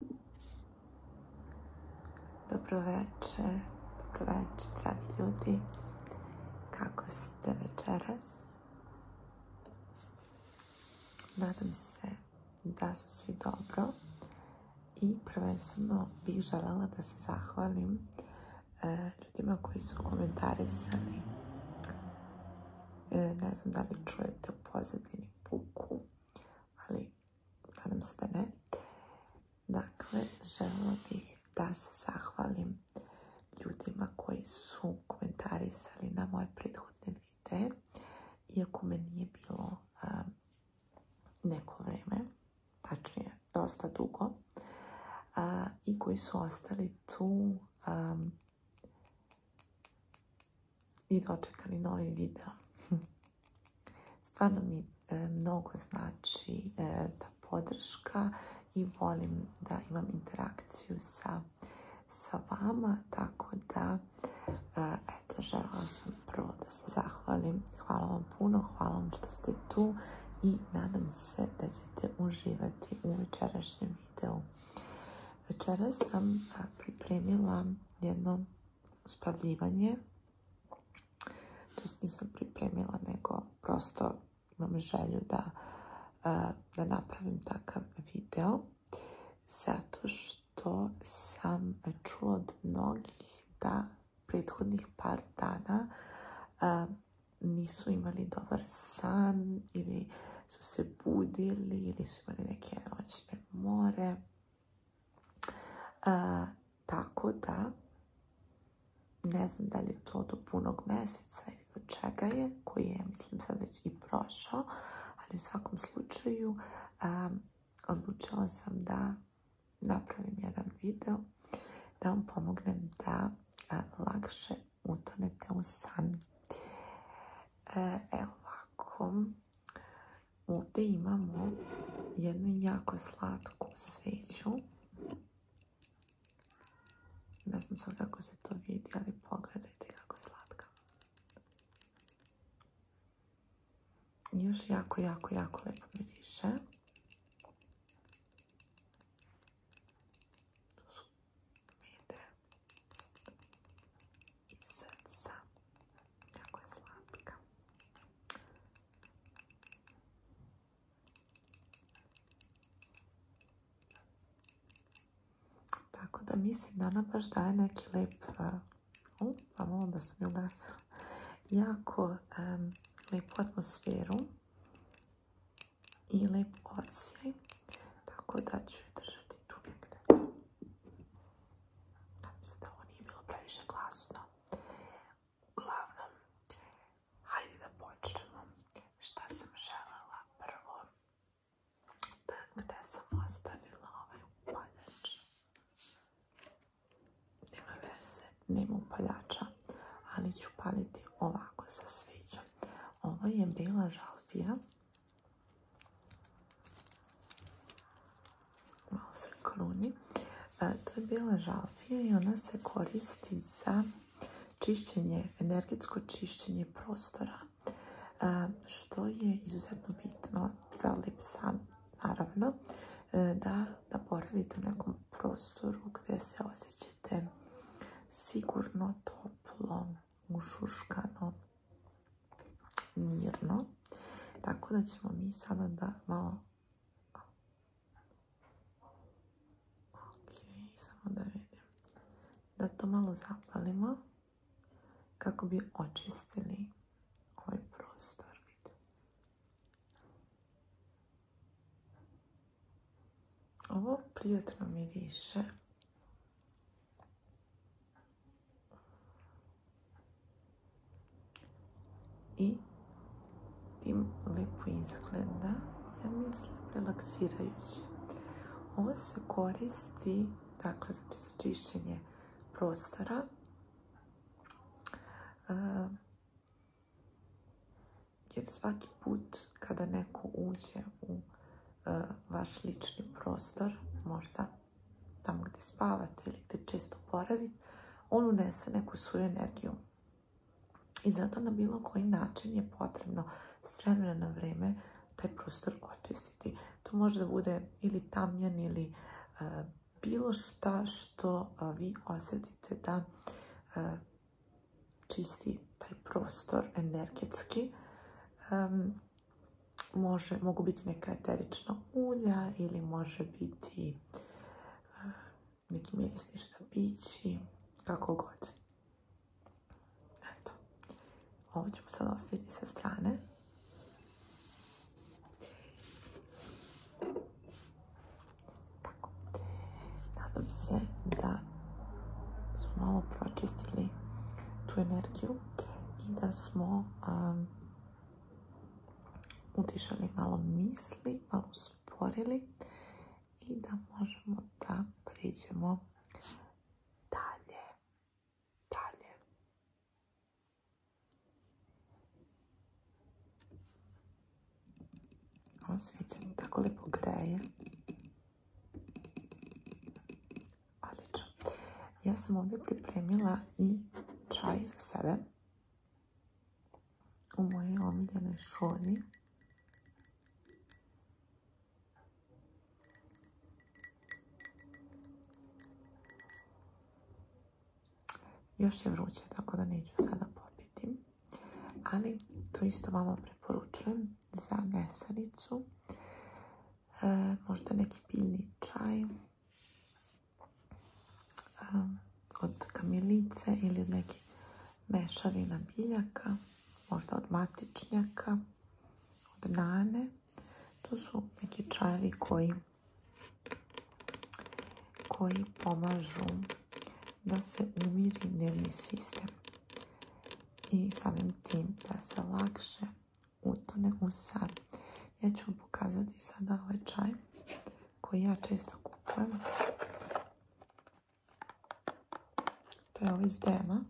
Dobro dobro dobroveče, dragi ljudi. Kako ste večeras? Nadam se da su svi dobro i prvenstveno bih željela da se zahvalim e, ljudima koji su komentarisani. E, ne znam da li čujete u pozadini puku, ali nadam se da ne. Dakle, želila bih da se zahvalim ljudima koji su komentarisali na moje prethodne videe, iako me nije bilo um, neko vrijeme, tačnije dosta dugo, i koji su ostali tu um, i dočekali novi video. Stvarno mi e, mnogo znači e, ta podrška i volim da imam interakciju sa, sa vama, tako da e, eto, želim sam prvo da se zahvalim. Hvala vam puno, hvala vam što ste tu i nadam se da ćete uživati u večerašnjem videu. Večera sam pripremila jedno spavljivanje. To nisam pripremila, nego prosto imam želju da, e, da napravim takav video. Zato što sam čula od mnogih da prethodnih par dana e, nisu imali dobar san ili su se budili ili su imali neke noćne more tako da, ne znam da li je to do punog mjeseca ili do čega je, koji je, mislim, sad već i prošao, ali u svakom slučaju odlučila sam da napravim jedan video da vam pomognem da lakše utonete u san. E, evo ovako, Ovdje imamo jednu jako slatku sveću. Ne znam sad kako se to vidi, ali pogledajte kako je slatka. Još jako, jako, jako lepo miriše i srca. je slatka. Tako da mislim da ona baš daje neki lep, uh, da sam je gasila, jako lepu atmosferu i lep ocijaj. tako da ću je držati tu se da ovo nije bilo previše glasno. Uglavnom, hajde da počnemo. Šta sam želela prvo? Da, gde sam ostavila ovaj upaljač? Nema veze, nema upaljača, ali ću paliti ovako sa sviđom. Ovo je bila žalfija Malo se kruni. E, to je bila žalfija i ona se koristi za čišćenje, energetsko čišćenje prostora, e, što je izuzetno bitno za lip naravno, e, da, da boravite u nekom prostoru gdje se osjećate sigurno, toplo, ušuškano, mirno. Tako da ćemo mi sada da malo... samo da Da to malo zapalimo kako bi očistili ovaj prostor. Ovo prijatno miriše i tim lijepo izgleda, ja mislim, relaksirajuće. Ovo se koristi, dakle, za čišćenje prostora. E, jer svaki put kada neko uđe u e, vaš lični prostor, možda tamo gdje spavate ili gdje često boravite, on unese neku svoju energiju. I zato na bilo koji način je potrebno s vremena na vrijeme taj prostor očistiti. To može bude ili tamjan ili e, bilo šta što e, vi osjetite da e, čisti taj prostor energetski može, mogu biti neka eterična ulja ili može biti e, neki mirisni štapići, kako god. Eto. Ovo ćemo sad ostaviti sa strane. Tako. Nadam se da smo malo pročistili tu energiju i da smo utišali malo misli, malo usporili i da možemo da priđemo dalje. Dalje. Ovo tako lijepo greje. Odlično. Ja sam ovdje pripremila i čaj za sebe u mojoj omiljenoj šolji. Još je vruće, tako da neću sada popiti. Ali to isto vama preporučujem za mesanicu. E, možda neki biljni čaj od kamilice ili od nekih mešavina biljaka, možda od matičnjaka, od nane. To su neki čajevi koji, koji pomažu da se umiri nervni sistem i samim tim da se lakše utone u sar. Ja ću vam pokazati sada ovaj čaj koji ja često kupujem. To je ovaj iz Dema.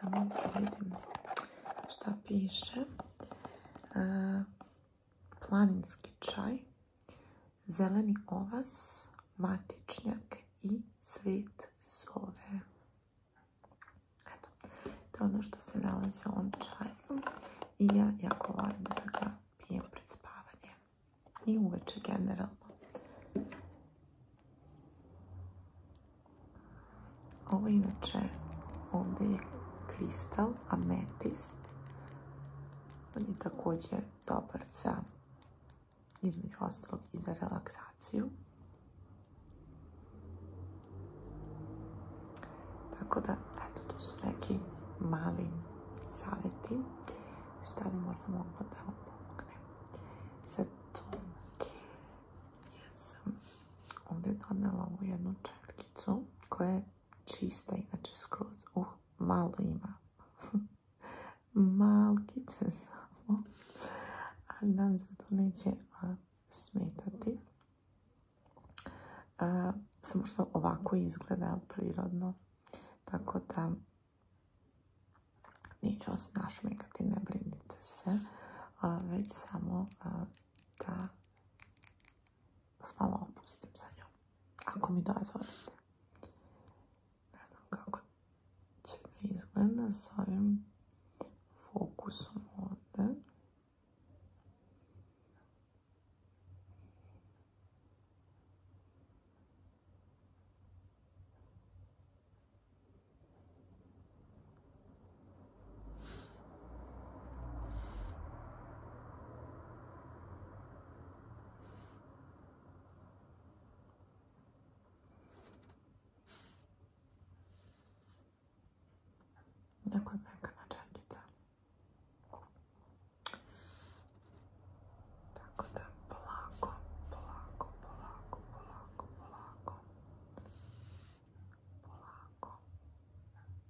Samo da vidim šta piše. E, planinski čaj, zeleni ovas, matičnjak i cvet zove. Eto, to je ono što se nalazi u ovom čaju i ja jako volim da ga pijem pred spavanje i uveče generalno. Ovo inače ovdje kristal, ametist. On je također dobar za, između ostalog, i za relaksaciju. Tako da, eto, to su neki mali savjeti šta bi možda mogla da vam pomogne. Ovdje je donela ovu jednu četkicu koja je čista, inače skroz. Uh, malo ima. Malkice samo. A nam zato neće smetati. samo što ovako izgleda prirodno. Tako da neću vas našmekati, ne brinite se. već samo da spala opustim sa njom. Ako mi dozvolite. Ne znam kako će da izgleda s ovim fokusom ovde. Ďakujem, pekná čajtica. Tak tam Poláko, Poláko, Poláko, Poláko, Poláko. Poláko.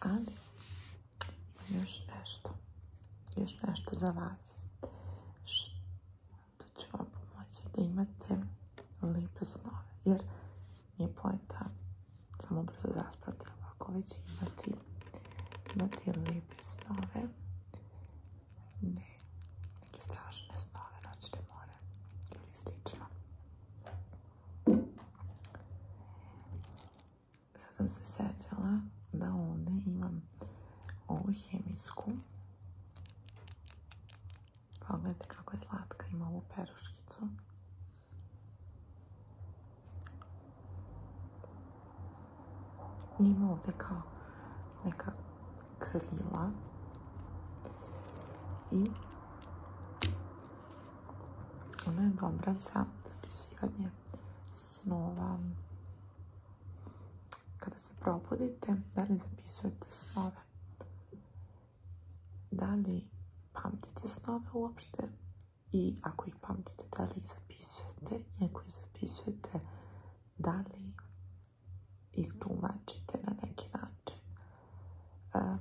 Ali još nešto. Još nešto za vas. Što će vam pomoći da imate lipe snove. Jer nije pojenta samo brzo zaspati. Ako već imati, imati lipe snove, ne neke strašne snove, noćne more ili Sad sam se sjetila da ovdje imam ovu hemijsku. Pogledajte pa kako je slatka, ima ovu peruškicu. Ima ovdje kao neka krila. I ona je dobra za zapisivanje snova. Kada se probudite, da li zapisujete snove? Da li pamtite snove uopšte? I ako ih pamtite, da li ih zapisujete? I ako ih zapisujete, da li ih tumačite na neki način? E,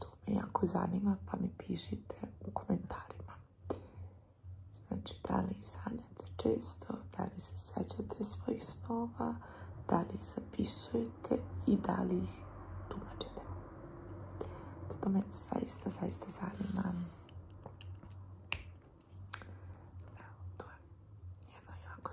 to me jako zanima, pa mi pišite u komentarima. Znači, da li sanjate često, da li se sećate svojih snova, da li ih zapisujete i da li ih tumačite. To me zaista, zaista zanima. to je jako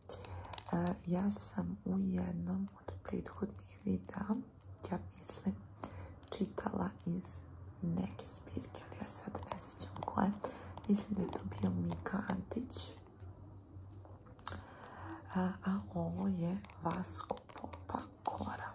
E, ja sam u jednom od prethodnih videa, ja mislim, čitala iz neke zbirke, ali ja sad ne sjećam koje. Mislim da je to bio Mika Antić. E, a, ovo je Vasko Popa Kora.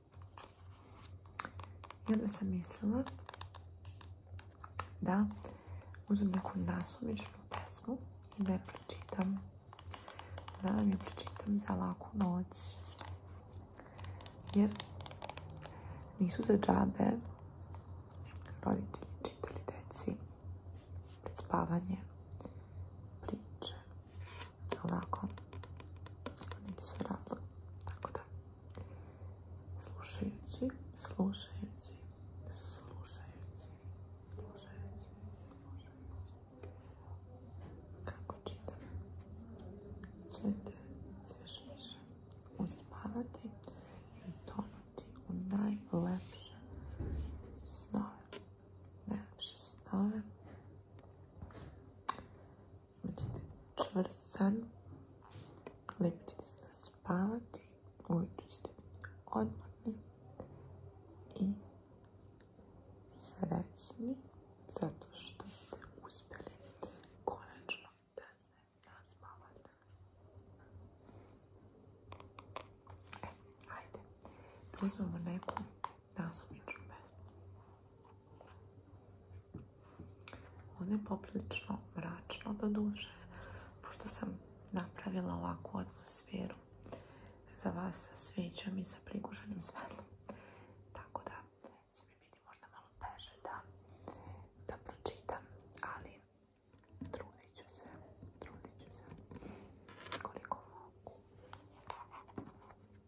I onda sam mislila da uzmem neku nasumičnu pesmu i da je pročitam. Da vam pročitam za laku noć. Jer nisu za džabe roditelji čitali deci pred spavanje priče ovako, neki su razlog, tako da, slušajući, slušajući, slušajući, slušajući, slušajući, kako čitam, ćete se još više uspavati i tonuti u najlepše snove, najlepše snove, ćete san, lijepo ćete se naspavati, ujutru ćete biti odmorni i srećni zato što ste uspjeli konačno da se naspavate. E, hajde, da uzmemo neku nasumičnu pesmu. Ono je poprilično mračno do duže, pošto sam napravila ovakvu atmosferu za vas sa svećom i sa priguženim svetlom. Tako da će mi biti možda malo teže da, da pročitam, ali trudit ću se, trudit ću se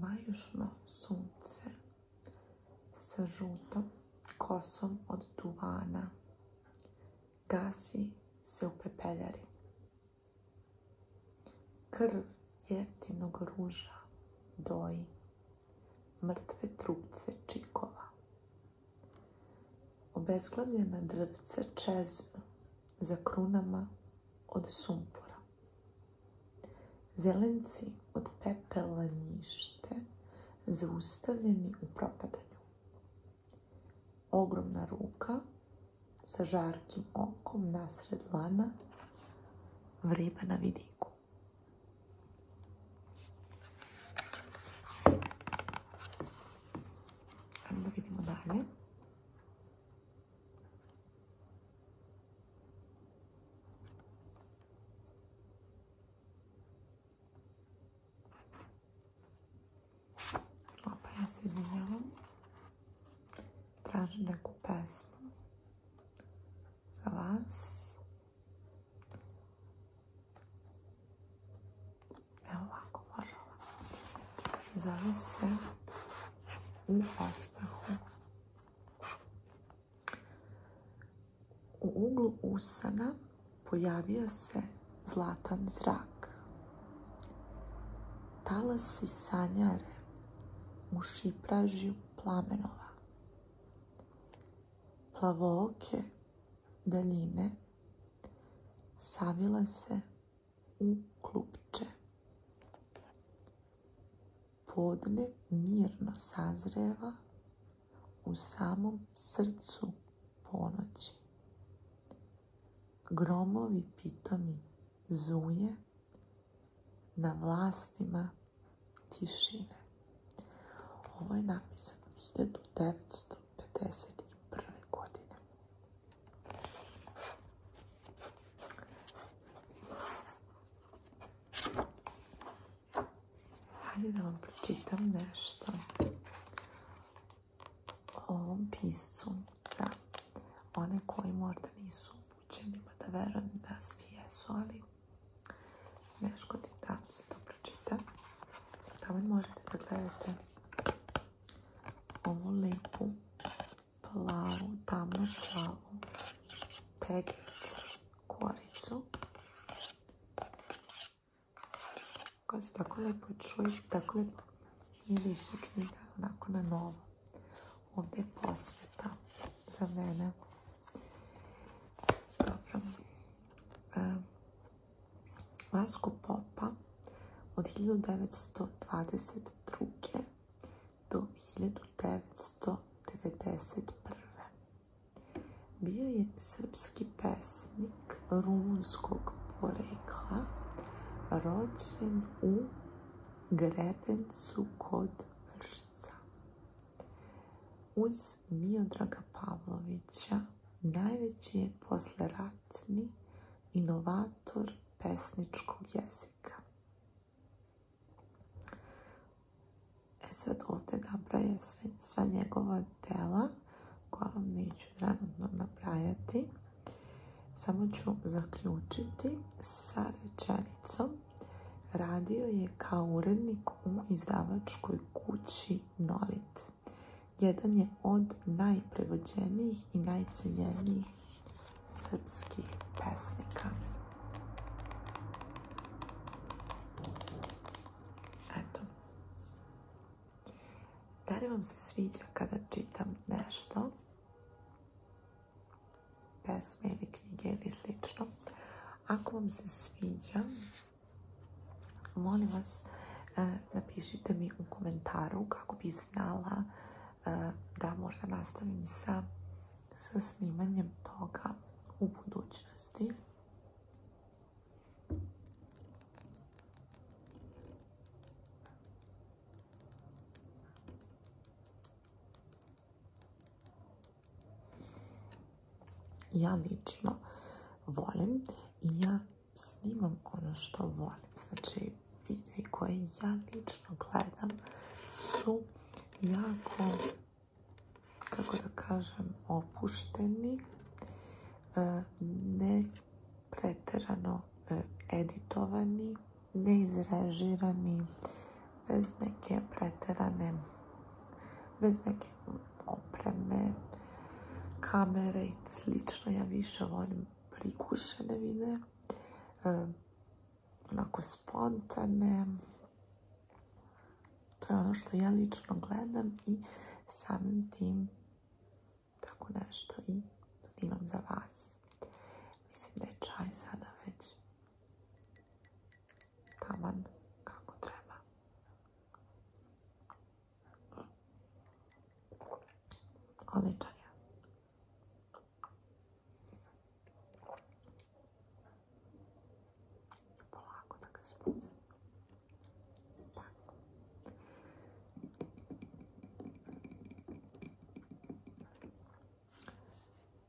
Majušno sunce sa žutom kosom od duvana gasi se u pepeljari. Krv jeftinog ruža doji mrtve trupce čikova. Obezglavljena drvce čeznu za krunama od sumpora. Zelenci od pepela njište zaustavljeni u propadanju. Ogromna ruka sa žarkim okom nasred lana vreba na vidiku. da vidimo Opa, ja se izvinjavam. Tražim neku pesmu za vas. Evo ovako, možda Zove se U osmehu. U uglu usana pojavio se zlatan zrak. Talasi sanjare u šipražju plamenova. plavoke daljine savila se u klupče podne mirno sazreva u samom srcu ponoći. Gromovi pitomi zuje na vlastima tišine. Ovo je napisano 1951. godine. Hajde da vam pročitam nešto o ovom piscu. Da, one koji možda nisu upućeni, pa da verujem da svi jesu, ali ne škodi da se to pročita. Tamo možete da gledate ovu lipu plavu, tamno plavu teglicu, koricu. Kad se tako lijepo čuje, tako lijepo miriše knjiga, onako na novo. Ovdje je posveta za mene. Dobro. Vasko Popa od 1922 do 1991. Bio je srpski pesnik rumunskog porekla, rođen u Grebencu kod Vršca. Uz Miodraga Pavlovića najveći je posleratni inovator pesničkog jezika. E sad ovdje nabrajem sva njegova dela koja vam neću trenutno nabrajati. Samo ću zaključiti sa rečenicom. Radio je kao urednik u izdavačkoj kući Nolit. Jedan je od najprevođenijih i najcenjenijih srpskih pesnika. Eto. Da li vam se sviđa kada čitam nešto? Pesme ili knjige ili slično. Ako vam se sviđa, molim vas, e, napišite mi u komentaru kako bi znala E, da možda nastavim sa, sa snimanjem toga u budućnosti. Ja lično volim i ja snimam ono što volim. Znači, video koje ja lično gledam su jako, kako da kažem, opušteni, e, ne preterano e, editovani, neizrežirani, bez neke preterane, bez neke opreme, kamere i slično. Ja više volim prikušene videe, e, onako spontane. To je ono što ja lično gledam i samim tim tako nešto i snimam za vas. Mislim da je čaj sada već taman kako treba. je. Polako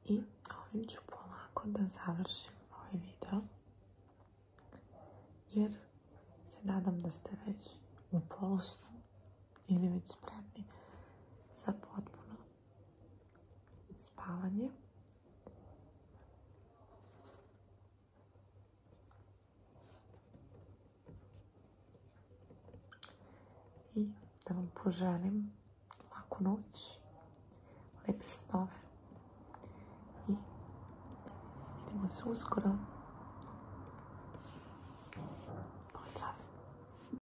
I ovim ću polako da završim ovaj video. Jer se nadam da ste već u polosnu ili već spremni za potpuno spavanje. I da vam poželim laku noć, lepe snove i vidimo se uskoro.